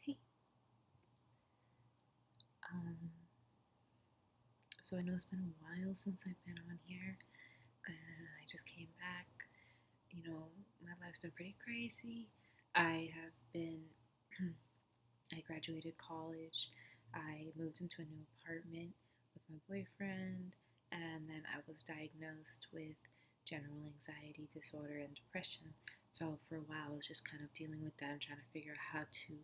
Hey. Um, so I know it's been a while since I've been on here. I just came back. You know, my life's been pretty crazy. I have been, I graduated college. I moved into a new apartment with my boyfriend, and then I was diagnosed with general anxiety disorder and depression so for a while, I was just kind of dealing with that and trying to figure out how to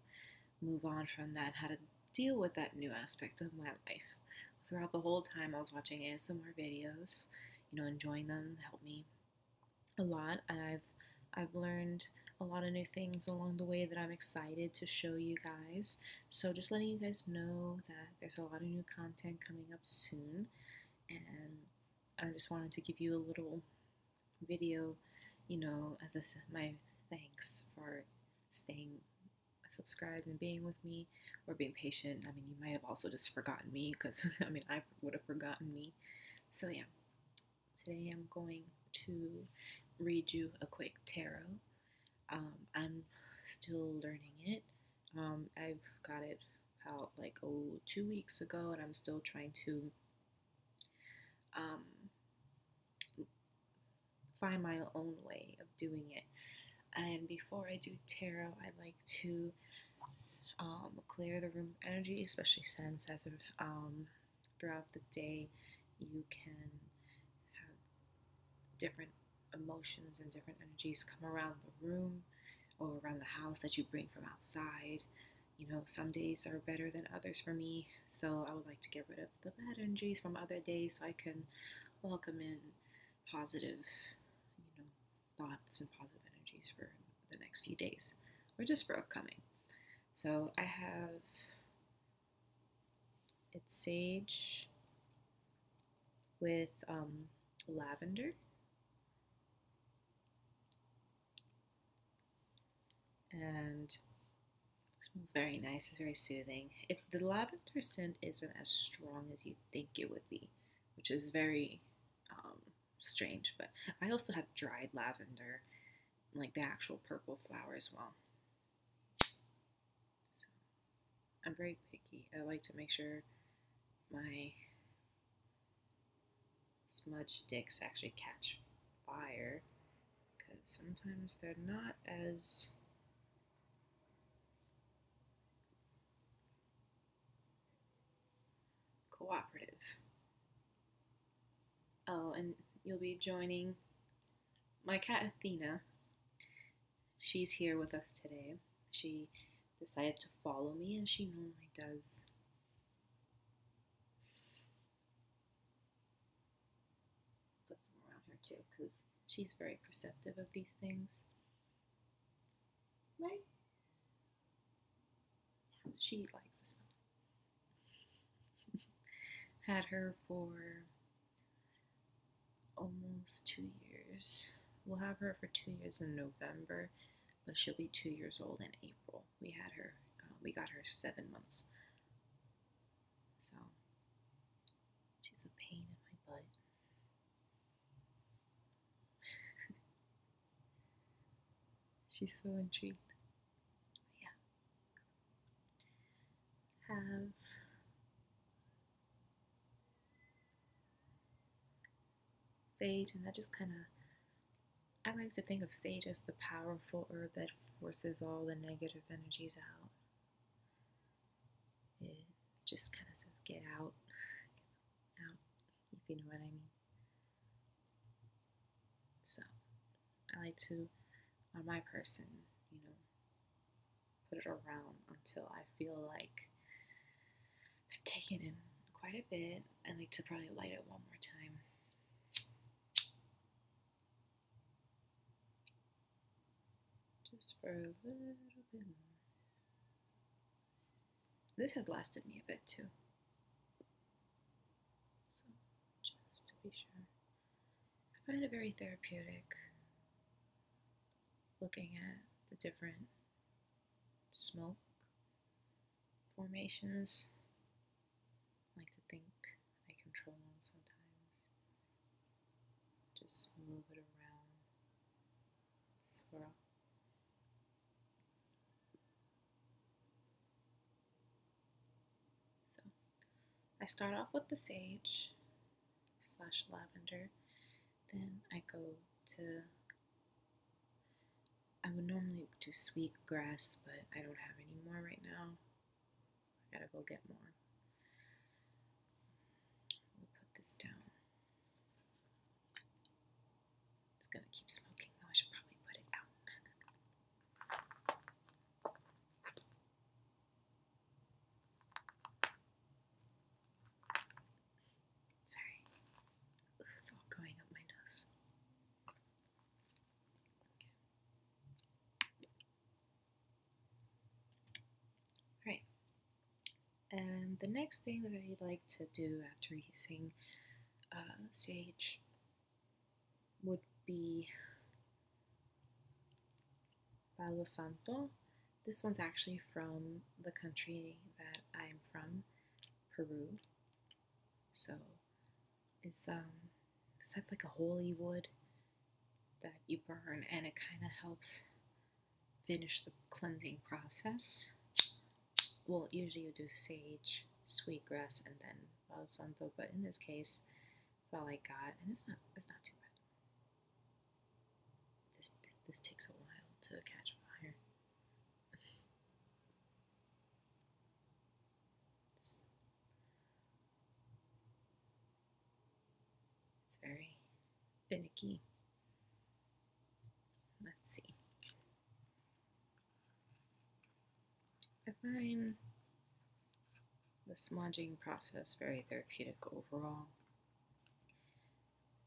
move on from that, how to deal with that new aspect of my life. Throughout the whole time, I was watching ASMR videos, you know, enjoying them helped me a lot, and I've I've learned a lot of new things along the way that I'm excited to show you guys. So just letting you guys know that there's a lot of new content coming up soon, and I just wanted to give you a little video, you know, as a my thanks for staying subscribed and being with me or being patient. I mean, you might have also just forgotten me because, I mean, I would have forgotten me. So, yeah, today I'm going to read you a quick tarot. Um, I'm still learning it. Um, I've got it out like oh two weeks ago, and I'm still trying to um, find my own way of doing it. And before I do tarot, I like to um, clear the room energy, especially since as of um, throughout the day, you can have different emotions and different energies come around the room or around the house that you bring from outside you know, some days are better than others for me. So I would like to get rid of the bad energies from other days so I can welcome in positive, you know, thoughts and positive energies for the next few days or just for upcoming. So I have it's sage with um, lavender and smells very nice. It's very soothing. It, the lavender scent isn't as strong as you think it would be, which is very um, strange. But I also have dried lavender, like the actual purple flower as well. I'm very picky. I like to make sure my smudge sticks actually catch fire because sometimes they're not as cooperative. Oh, and you'll be joining my cat Athena. She's here with us today. She decided to follow me, as she normally does Put some around her too, because she's very perceptive of these things. Right? Yeah, she likes this one. Had her for almost two years. We'll have her for two years in November, but she'll be two years old in April we had her, uh, we got her seven months. So she's a pain in my butt. she's so intrigued. Yeah. Have sage, and I just kind of, I like to think of sage as the powerful herb that forces all the negative energies out. It just kind of says, get out, out, if you know what I mean. So, I like to, on my person, you know, put it around until I feel like I've taken in quite a bit. I like to probably light it one more time. Just for a little bit. This has lasted me a bit too. So, just to be sure. I find it very therapeutic looking at the different smoke formations. I like to think I control them sometimes. Just move it around, swirl. So I start off with the sage slash lavender, then I go to I would normally do sweet grass, but I don't have any more right now. I gotta go get more. put this down. It's gonna keep smoking, though. I should probably put it out. Sorry. Ooh, it's all going up my nose. Right. And the next thing that I like to do after using sage uh, would be Palo Santo. This one's actually from the country that I'm from, Peru. So is um, it's like a holy wood that you burn, and it kind of helps finish the cleansing process. Well, usually you do sage, sweetgrass, and then Palo Santo, but in this case, it's all I got, and it's not it's not too bad. this, this takes a while to catch fire. It's, very finicky. Let's see. I find the smudging process very therapeutic overall.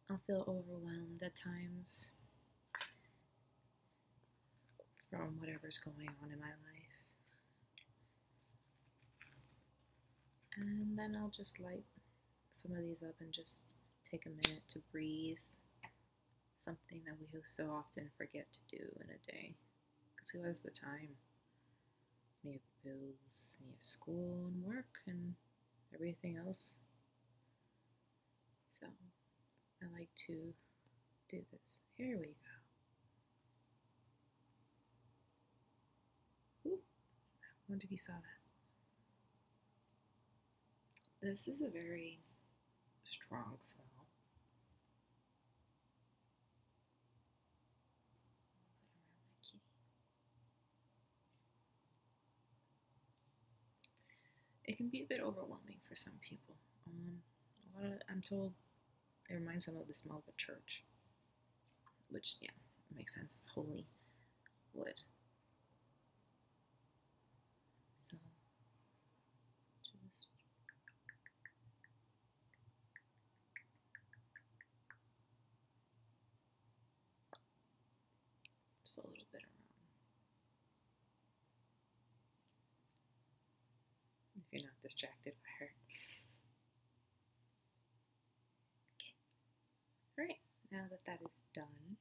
I feel overwhelmed at times from whatever's going on in my life. And then I'll just light some of these up and just take a minute to breathe. Something that we so often forget to do in a day. Because who has the time? We have bills, we have school and work and everything else. So I like to do this. Here we go. Ooh, I wonder if you saw that. This is a very strong smell. It can be a bit overwhelming for some people. Um, a lot of, I'm told it reminds them of the smell of a church, which, yeah, makes sense. It's holy wood. So, just just a little bit around if you're not distracted by her. Okay. Alright, now that that is done,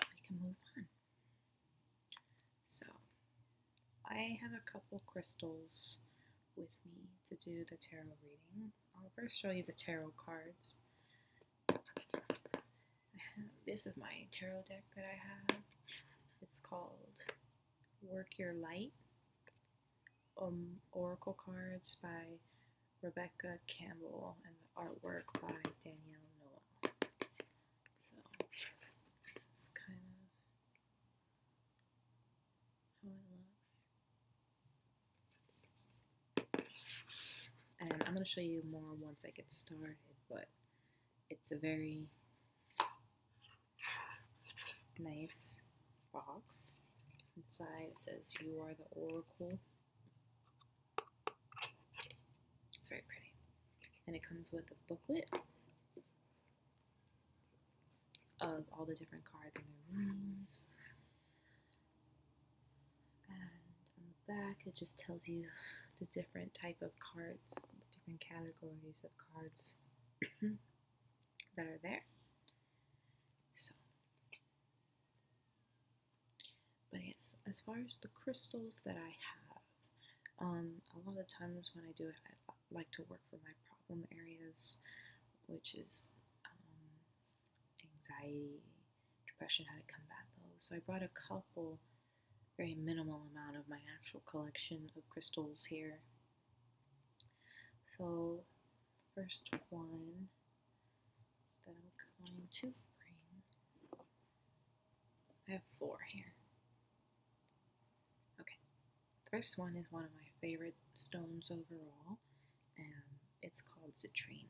we can move on. So, I have a couple crystals with me to do the tarot reading. I'll first show you the tarot cards. this is my tarot deck that I have. It's called Work Your Light. Um, Oracle cards by Rebecca Campbell and artwork by Danielle Noel. So it's kind of how it looks. And I'm going to show you more once I get started, but it's a very nice box. Inside it says, You are the Oracle. It's very pretty. And it comes with a booklet of all the different cards and their rooms. And on the back, it just tells you the different type of cards, the different categories of cards that are there. So, but yes, as far as the crystals that I have, um, a lot of times when I do it, I like to work for my problem areas, which is um, anxiety, depression how to back though, So I brought a couple, very minimal amount of my actual collection of crystals here. So first one that I'm going to bring, I have four here. Okay, first one is one of my favorite stones overall, and it's called citrine.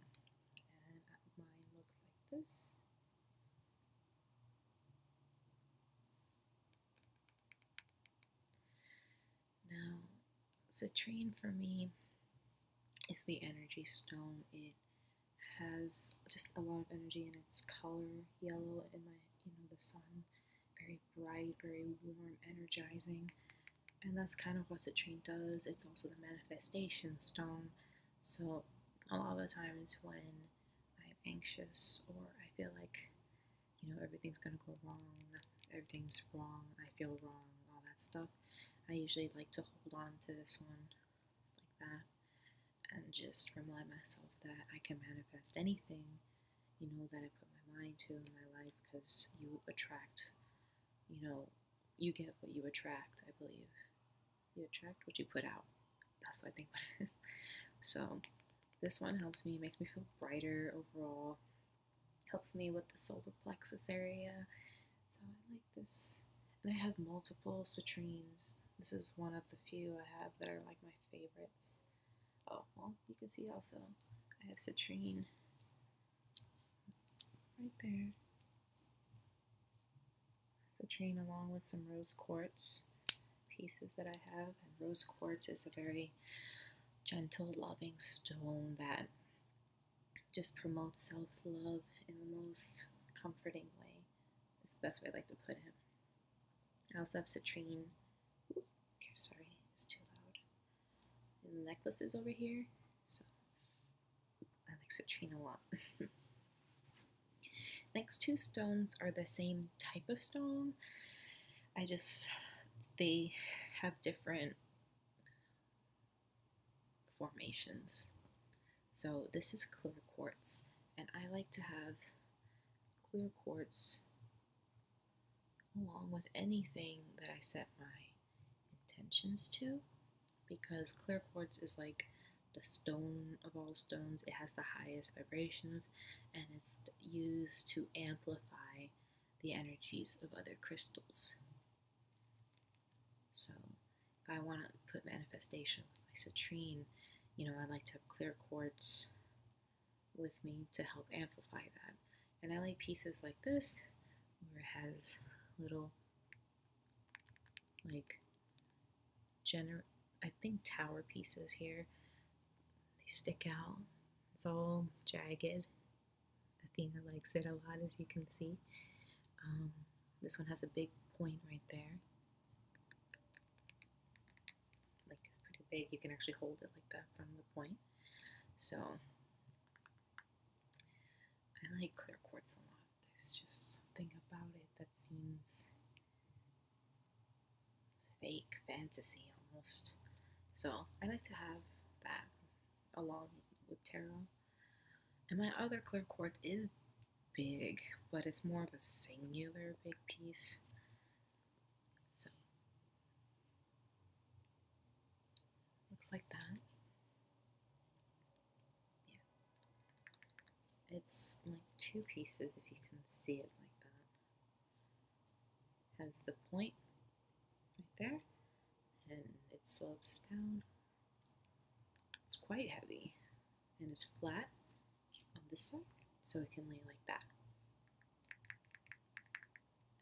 And mine looks like this. Now, citrine for me is the energy stone. It has just a lot of energy in its color, yellow in you know the sun, very bright, very warm, energizing, and that's kind of what citrine does. It's also the manifestation stone, so, a lot of the times when I'm anxious or I feel like, you know, everything's going to go wrong, everything's wrong, I feel wrong, all that stuff, I usually like to hold on to this one like that and just remind myself that I can manifest anything, you know, that I put my mind to in my life because you attract, you know, you get what you attract, I believe. You attract what you put out. That's what I think what it is. So this one helps me, makes me feel brighter overall. Helps me with the solar plexus area. So I like this. And I have multiple citrines. This is one of the few I have that are like my favorites. Oh, well, you can see also I have citrine right there citrine along with some rose quartz pieces that I have. And rose quartz is a very gentle, loving stone that just promotes self-love in the most comforting way. It's the best way I like to put it. I also have citrine. okay, sorry, it's too loud. necklaces over here. So I like citrine a lot. Next two stones are the same type of stone. I just, they have different formations. So this is clear quartz, and I like to have clear quartz along with anything that I set my intentions to because clear quartz is like the stone of all stones. It has the highest vibrations and it's used to amplify the energies of other crystals. So if I want to put manifestation with my citrine, you know, I like to have clear quartz with me to help amplify that. And I like pieces like this where it has little like gener I think tower pieces here. They stick out. It's all jagged. Athena likes it a lot as you can see. Um, this one has a big point right there. Like it's pretty big. You can actually hold it like that from the point. So I like clear quartz a lot there's just something about it that seems fake fantasy almost. So I like to have that along with tarot. And my other clear quartz is big, but it's more of a singular big piece. So looks like that. Yeah. It's like two pieces if you can see it like that. Has the point right there and it slopes down. It's quite heavy and it's flat on this side so it can lay like that.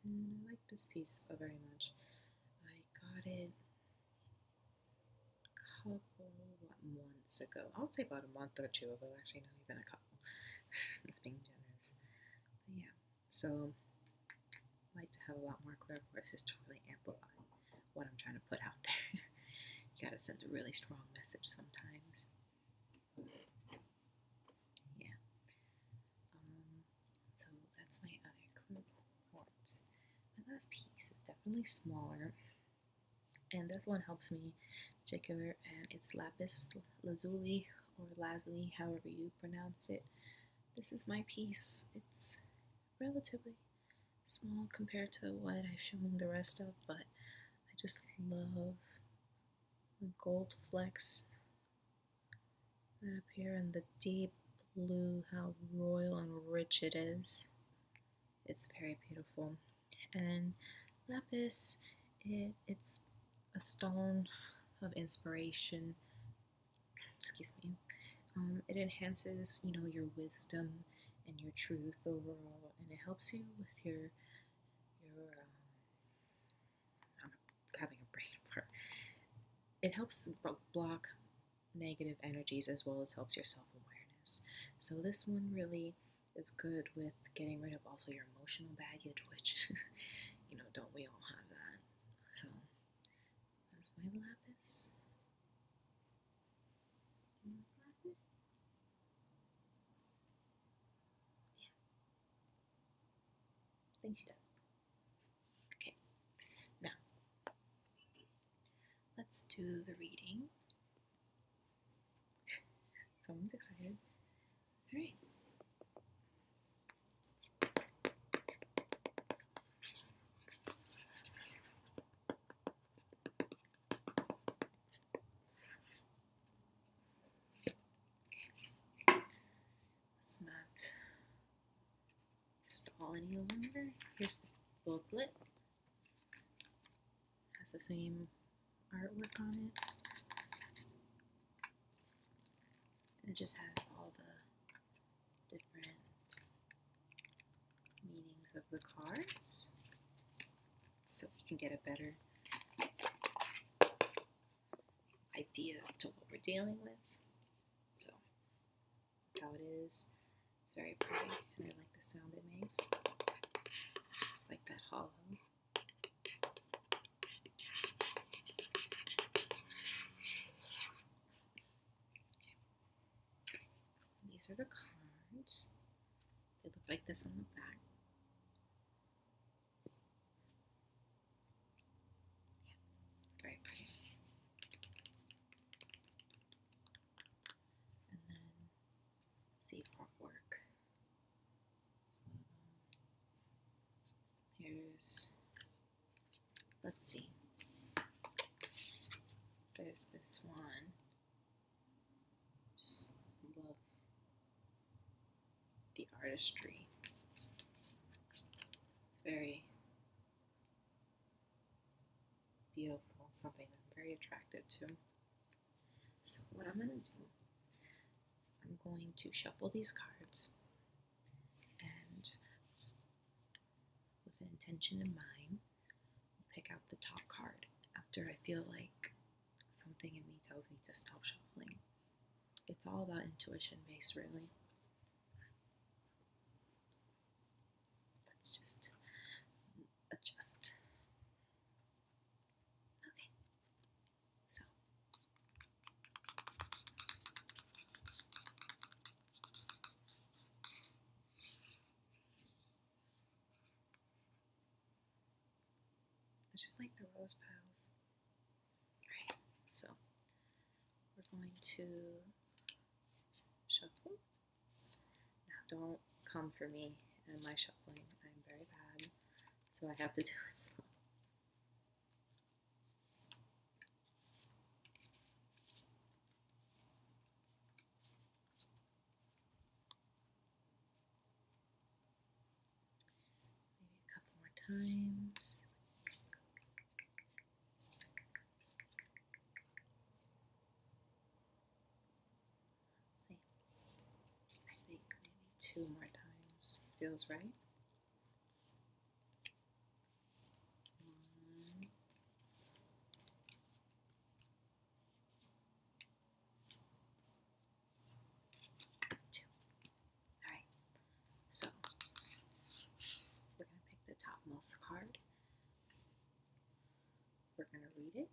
And I like this piece very much. I got it couple months ago. I'll say about a month or two ago, actually, not even a couple. it's being generous. But yeah, so I like to have a lot more clear just to really amplify what I'm trying to put out there. you gotta send a really strong message sometimes. Yeah. Um, so that's my other clue want. My last piece is definitely smaller and this one helps me particular and it's lapis lazuli or lazuli however you pronounce it this is my piece it's relatively small compared to what I've shown the rest of but I just love the gold flecks that appear in the deep blue how royal and rich it is it's very beautiful. And lapis, it, it's a stone of inspiration. Excuse me. Um, it enhances, you know, your wisdom and your truth overall, and it helps you with your your. Um, I'm having a brain fart. It helps block negative energies as well as helps your self awareness. So, this one really is good with getting rid of also your emotional baggage, which, you know, don't we all have that? So, that's my lapis. Yeah. think she does. Okay. Now, Let's do the reading. Someone's excited. All right. Let's not stall any longer. Here's the booklet. Has the same artwork on it. And it just has all the different meanings of the cards. So we can get a better idea as to what we're dealing with. So how it is. It's very pretty, and I like the sound it makes. It's like that hollow. Okay. These are the cards. They look like this on the back. Yeah, very pretty and then see artwork. Here's, let's see, there's this one. Just love the artistry. It's very beautiful, something that I'm very attracted to. So what I'm going to do I'm going to shuffle these cards and with an intention in mind, pick out the top card after I feel like something in me tells me to stop shuffling. It's all about intuition based really. Let's just adjust. Okay. So I just like the rose petals. Alright, so we're going to shuffle now, don't come for me and my shuffling. I'm very bad, so I have to do it slow. Maybe a couple more times see. I think maybe two more times feels right. One. Two. Alright, so we're going to pick the topmost card. We're going to read it.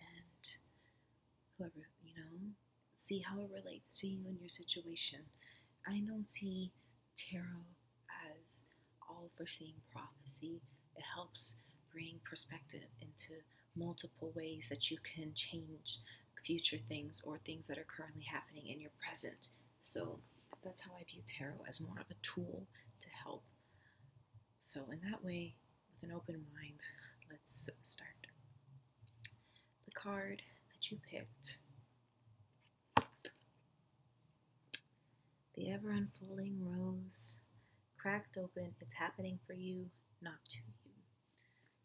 And whoever, you know, see how it relates to you and your situation. I don't see tarot as all foreseeing prophecy. It helps bring perspective into multiple ways that you can change future things or things that are currently happening in your present. So that's how I view tarot as more of a tool to help. So, in that way, with an open mind, let's start. The card that you picked, the ever unfolding rose, cracked open, it's happening for you, not to you.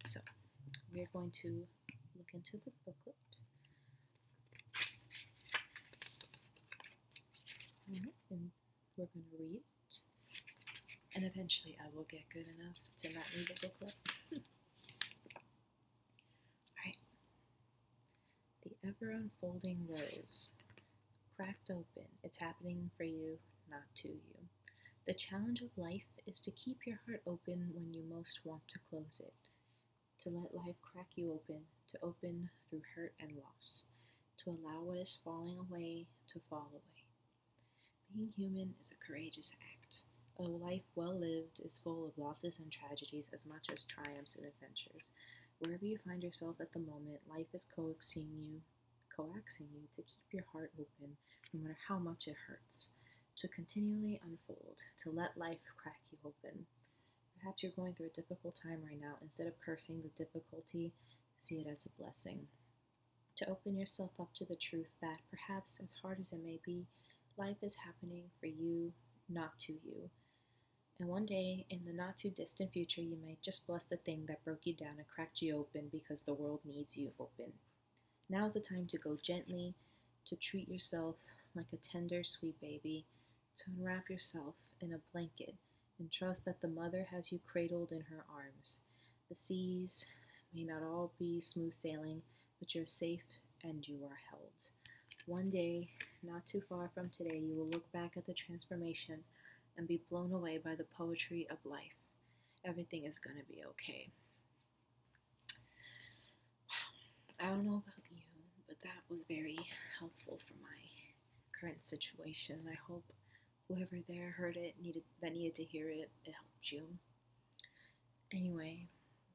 So, we're going to look into the booklet and we're going to read And eventually I will get good enough to not read the book. Alright. The ever unfolding rose. Cracked open. It's happening for you, not to you. The challenge of life is to keep your heart open when you most want to close it to let life crack you open, to open through hurt and loss, to allow what is falling away to fall away. Being human is a courageous act. A life well lived is full of losses and tragedies as much as triumphs and adventures. Wherever you find yourself at the moment, life is coaxing you, coaxing you to keep your heart open no matter how much it hurts, to continually unfold, to let life crack you open. Perhaps you're going through a difficult time right now. Instead of cursing the difficulty, see it as a blessing. To open yourself up to the truth that, perhaps as hard as it may be, life is happening for you, not to you. And one day, in the not too distant future, you may just bless the thing that broke you down and cracked you open because the world needs you open. Now is the time to go gently, to treat yourself like a tender, sweet baby, to unwrap yourself in a blanket and trust that the mother has you cradled in her arms. The seas may not all be smooth sailing, but you're safe and you are held. One day, not too far from today, you will look back at the transformation and be blown away by the poetry of life. Everything is going to be okay. Wow, I don't know about you, but that was very helpful for my current situation. I hope whoever there heard it needed that needed to hear it, it helped you. Anyway,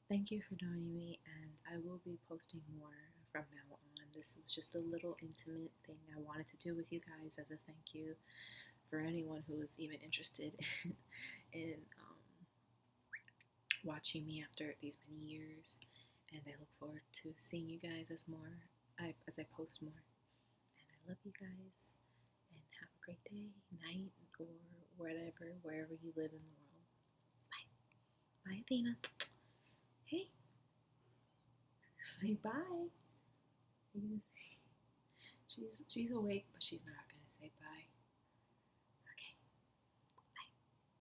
thank you for joining me, and I will be posting more from now on. This was just a little intimate thing I wanted to do with you guys as a thank you for anyone who was even interested in, um, watching me after these many years, and I look forward to seeing you guys as more I, as I post more. And I love you guys, and have a great day, night, or whatever, wherever you live in the world. Bye, bye, Athena. Hey, say bye. She's she's awake, but she's not gonna say bye.